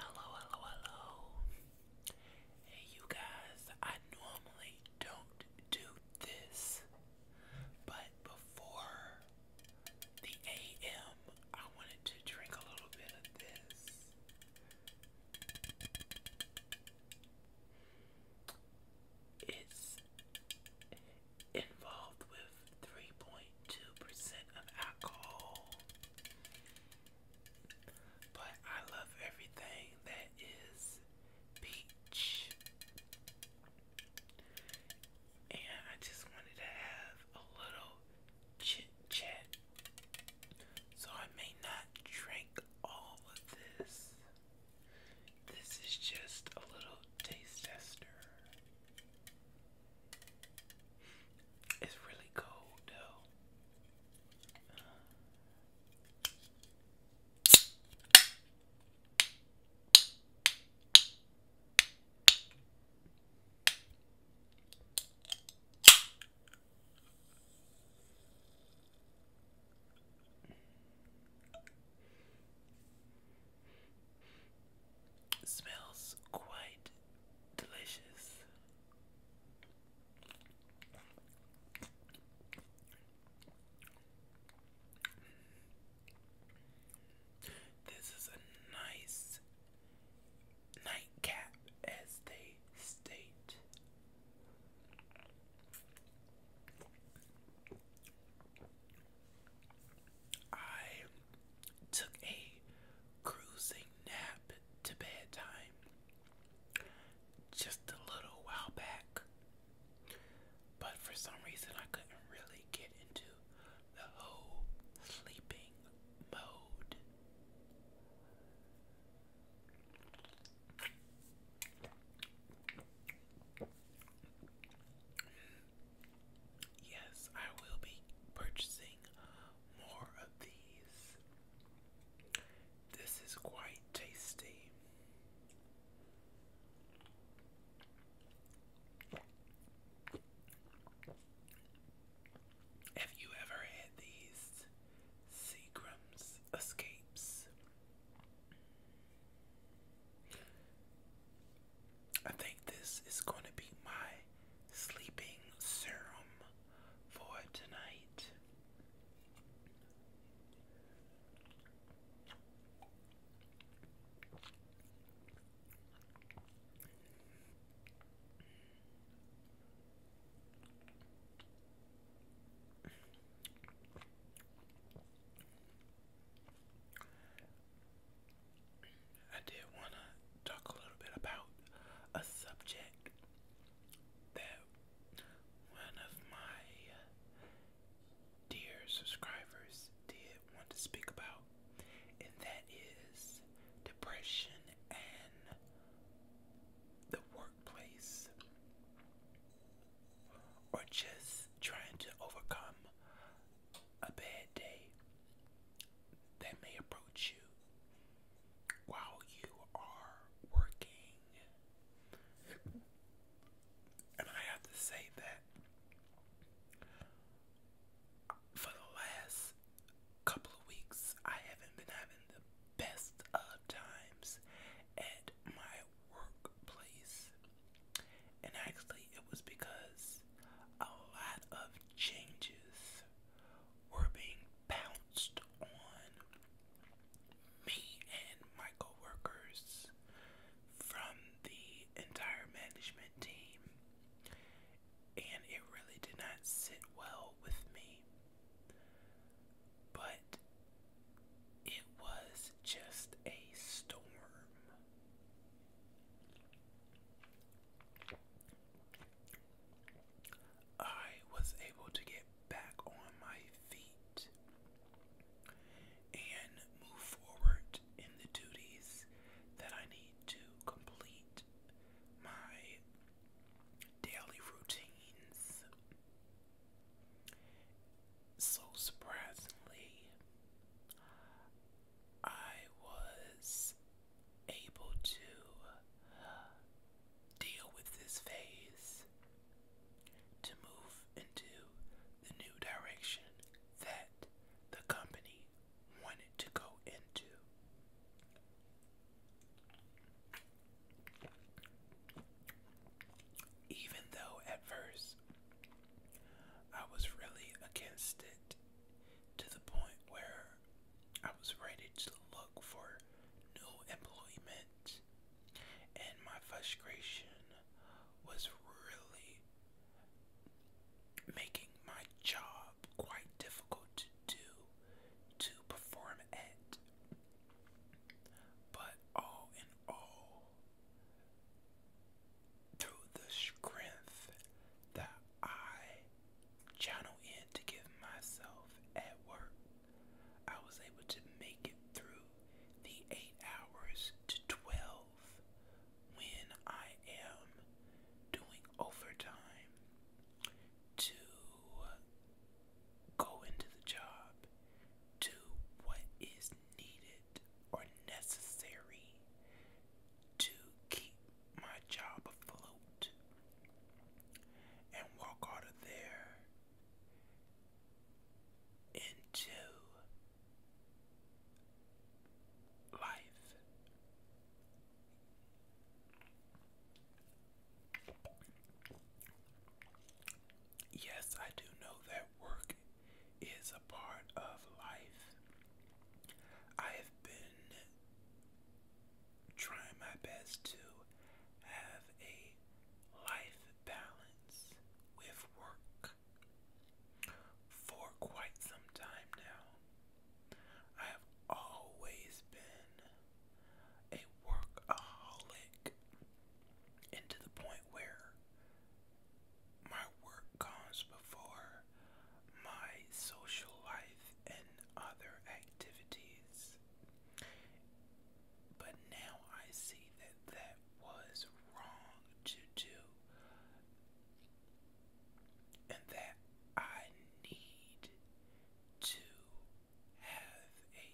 Hello, hello, hello. Hey, you guys, I normally don't do this, but before the AM, I wanted to drink a little bit of this. It's involved with 3.2% of alcohol. But I love everything that is peach. And I just wanted to have a little chit chat. So I may not drink all of this. This is just a little taste tester. It's really cold though smells quite delicious. This is a nice nightcap, as they state. I took a cruising nap to bedtime just a little while back, but for some reason I couldn't really get into the whole sleeping mode yes, I will be purchasing more of these. This is quite tasty. Have you ever had these Seagram's escapes? I think this is going to be my sleeping serum for tonight. I did want to talk a little bit about a subject that one of my uh, dear subscribers did want to speak about, and that is depression and the workplace, or just trying to overcome a bad day that may approach you while you are working. And I have to say that for the last couple of weeks, I haven't been having the best of times at my workplace. And actually, it was because a lot of changes were being bounced on me and my coworkers from the entire management team, and it really did not sit well with me. But it was just a storm I was able to get back on my feet and move forward in the duties that I need to complete my daily routines. So surprisingly, I was able to deal with this phase to move into the new direction that the company wanted to go into. Even though at first I was really against it to the point where I was ready to look for new employment, and my frustration was really making my job quite difficult to do, to perform at. But all in all, through the strength that I channel in to give myself at work, I was able to make it through the eight hours to 12 when I am doing overtime to go into the job, to what is needed or necessary to keep my job afloat and walk out of there into life. Yes, I do know that work is a part of life. I have been trying my best to have a life balance with work for quite some time now. I have always been a workaholic and to the point where my work comes before my social life and other activities. But now I see that that was wrong to do and that I need to has a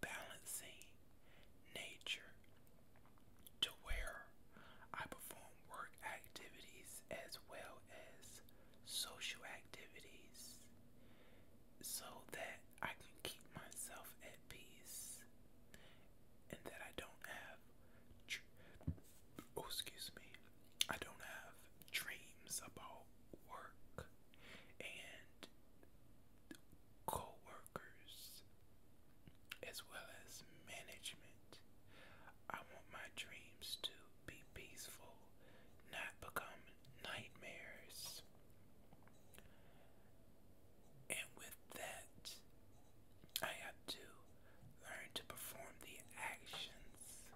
balancing nature to where I perform work activities as well as social activities so that I can keep myself at peace and that I don't have oh, excuse me I don't have dreams about work and co-workers as well as management. I want my dreams to be peaceful, not become nightmares. And with that, I have to learn to perform the actions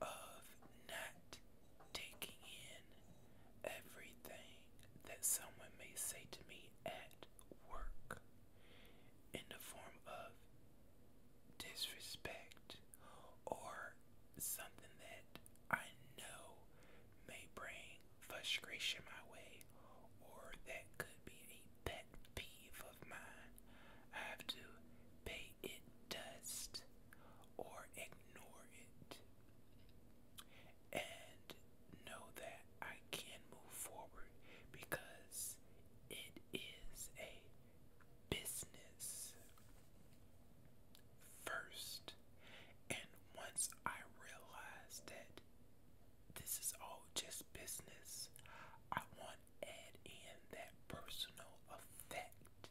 of not taking in everything that someone may say to me at work in the form of disrespect or something that I know may bring frustration my way or that could be a pet peeve of mine. I have to pay it does or ignore it and know that I can move forward because it is a business first. And once I realize that this is all just business, I want add in that personal effect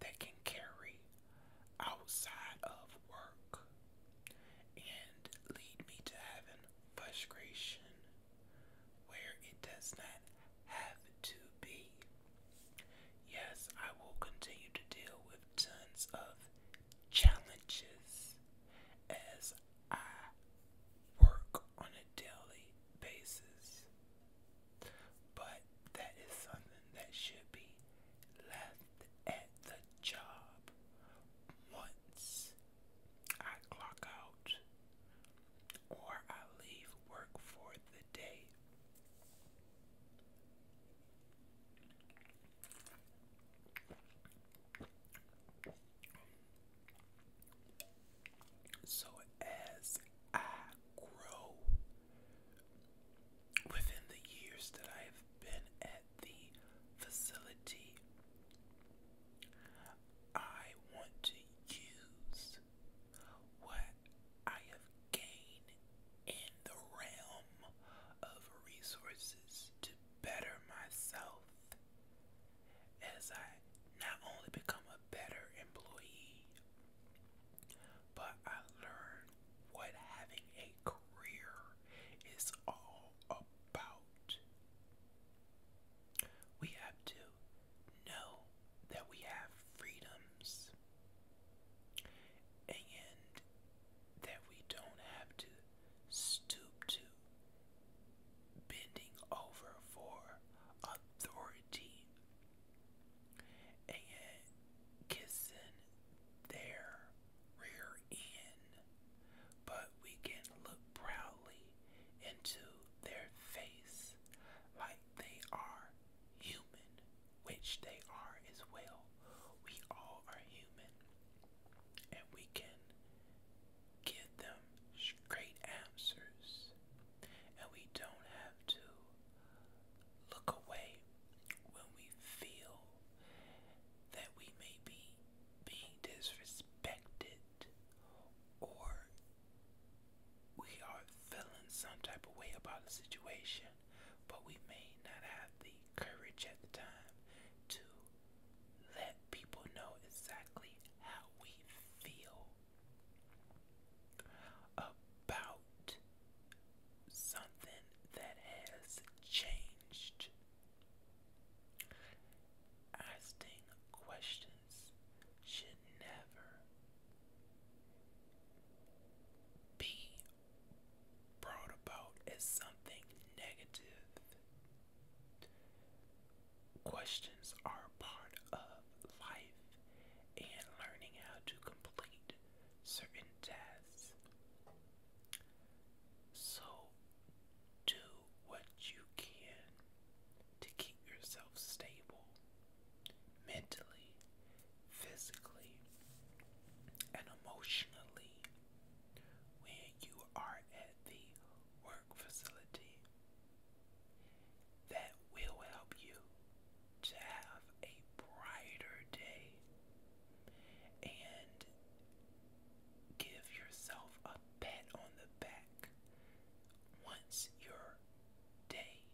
that can carry outside of work and lead me to having frustration where it does not have to be. Yes, I will continue to deal with tons of challenges as I work on a daily basis. But that is something that should be left at the job. Once I clock out or I leave work for the day. So as I grow within the years that I have been at the facility, I want to use what I have gained in the realm of resources to better myself as I not only become a better employee, but I learn what having a career is all about. We have to know that we have freedoms and that we don't have to stoop to bending over for authority and kissing their rear end, but we can look proudly into their face like they are human, which they are as well. We all are human, and we can give them straight answers, and we don't have to look away when we feel that we may be being disrespected or we are feeling some type of way about a situation, but we may not have the courage at the time to let people know exactly how we feel about something that has changed. Asking questions should never be brought about as something negative. Questions are part of life and learning how to complete certain tasks. So, do what you can to keep yourself stable mentally, physically, and emotionally when you are at the work facility that will help you to have a brighter day and give yourself a pat on the back once your day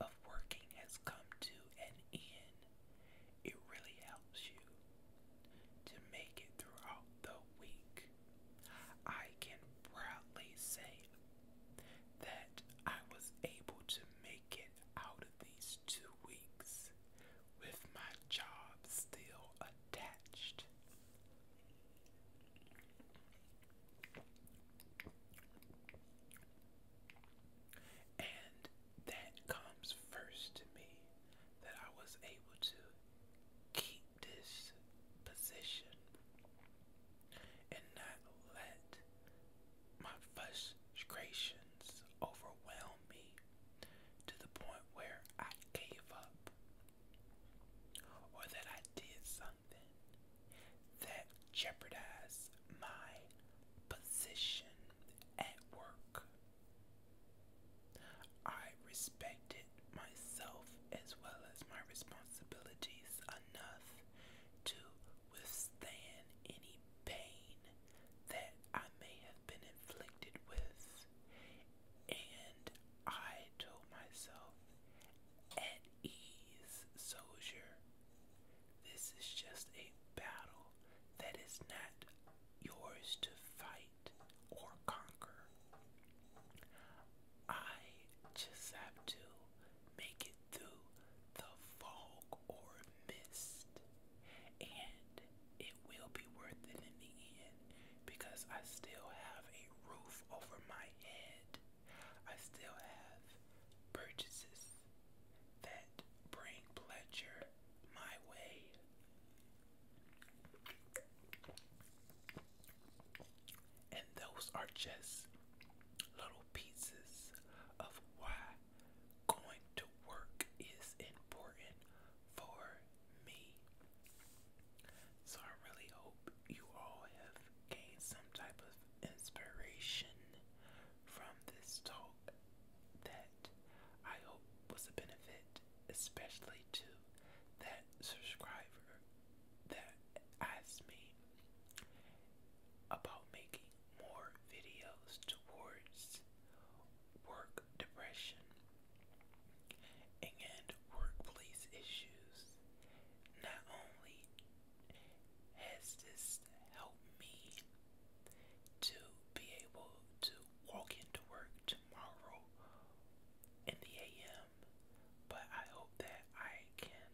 of working has come to an end. It really helps you to make it throughout the week. I can proudly say that I was able to make it out of these two weeks with my job still attached. And that comes first to me that I was able to keep this position and not let my frustrations overwhelm me to the point where I gave up or that I did something that jeopardized my position at work. I respected myself as well as my responsibilities enough to withstand any pain that I may have been inflicted with, and I told myself, at ease, soldier, this is just a battle that is not yours to fight or conquer. I just have to make it through the fog or mist, and it will be worth it in the end because I still have a roof over my head. I still have purchases that bring pleasure my way. And those are just little pieces of why going to work is important for me. So I really hope you all have gained some type of inspiration from this talk that I hope was a benefit, especially to that subscriber that asked me about making more videos towards work depression and workplace issues. Not only has this helped me to be able to walk into work tomorrow in the AM, but I hope that I can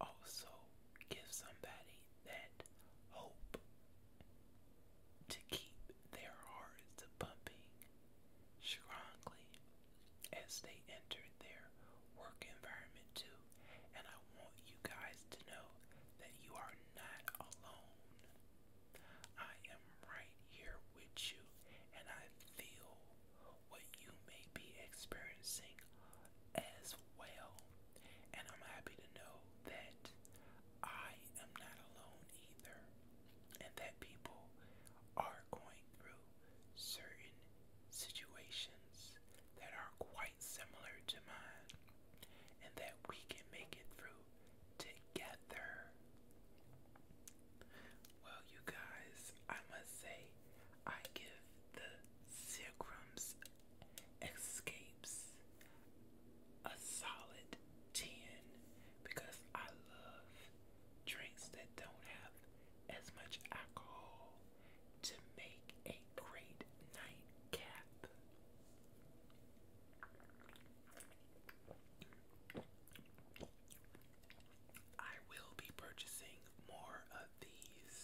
also give somebody that hope to keep their hearts pumping strongly as they enter their work environment too. And I want you guys to know that you are not alone. I am right here with you, and I feel what you may be experiencing as well. And I'm happy to know that I am not alone either, and that people are going through certain situations that are quite similar to mine, and that we can make it through together. Well, you guys, I must say, I give the Seagram's Escapes a solid 10 because I love drinks that don't have as much alcohol to make a great nightcap. I will be purchasing more of these.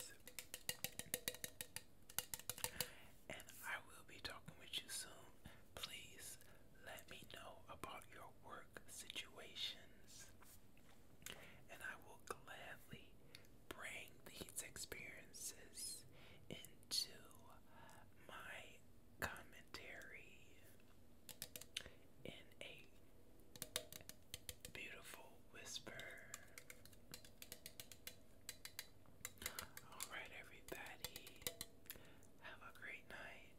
And I will be talking with you soon. Please let me know about your work situations. And I will gladly bring these experiences into my commentary in a beautiful whisper. Alright, everybody, have a great night.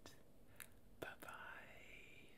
Bye bye.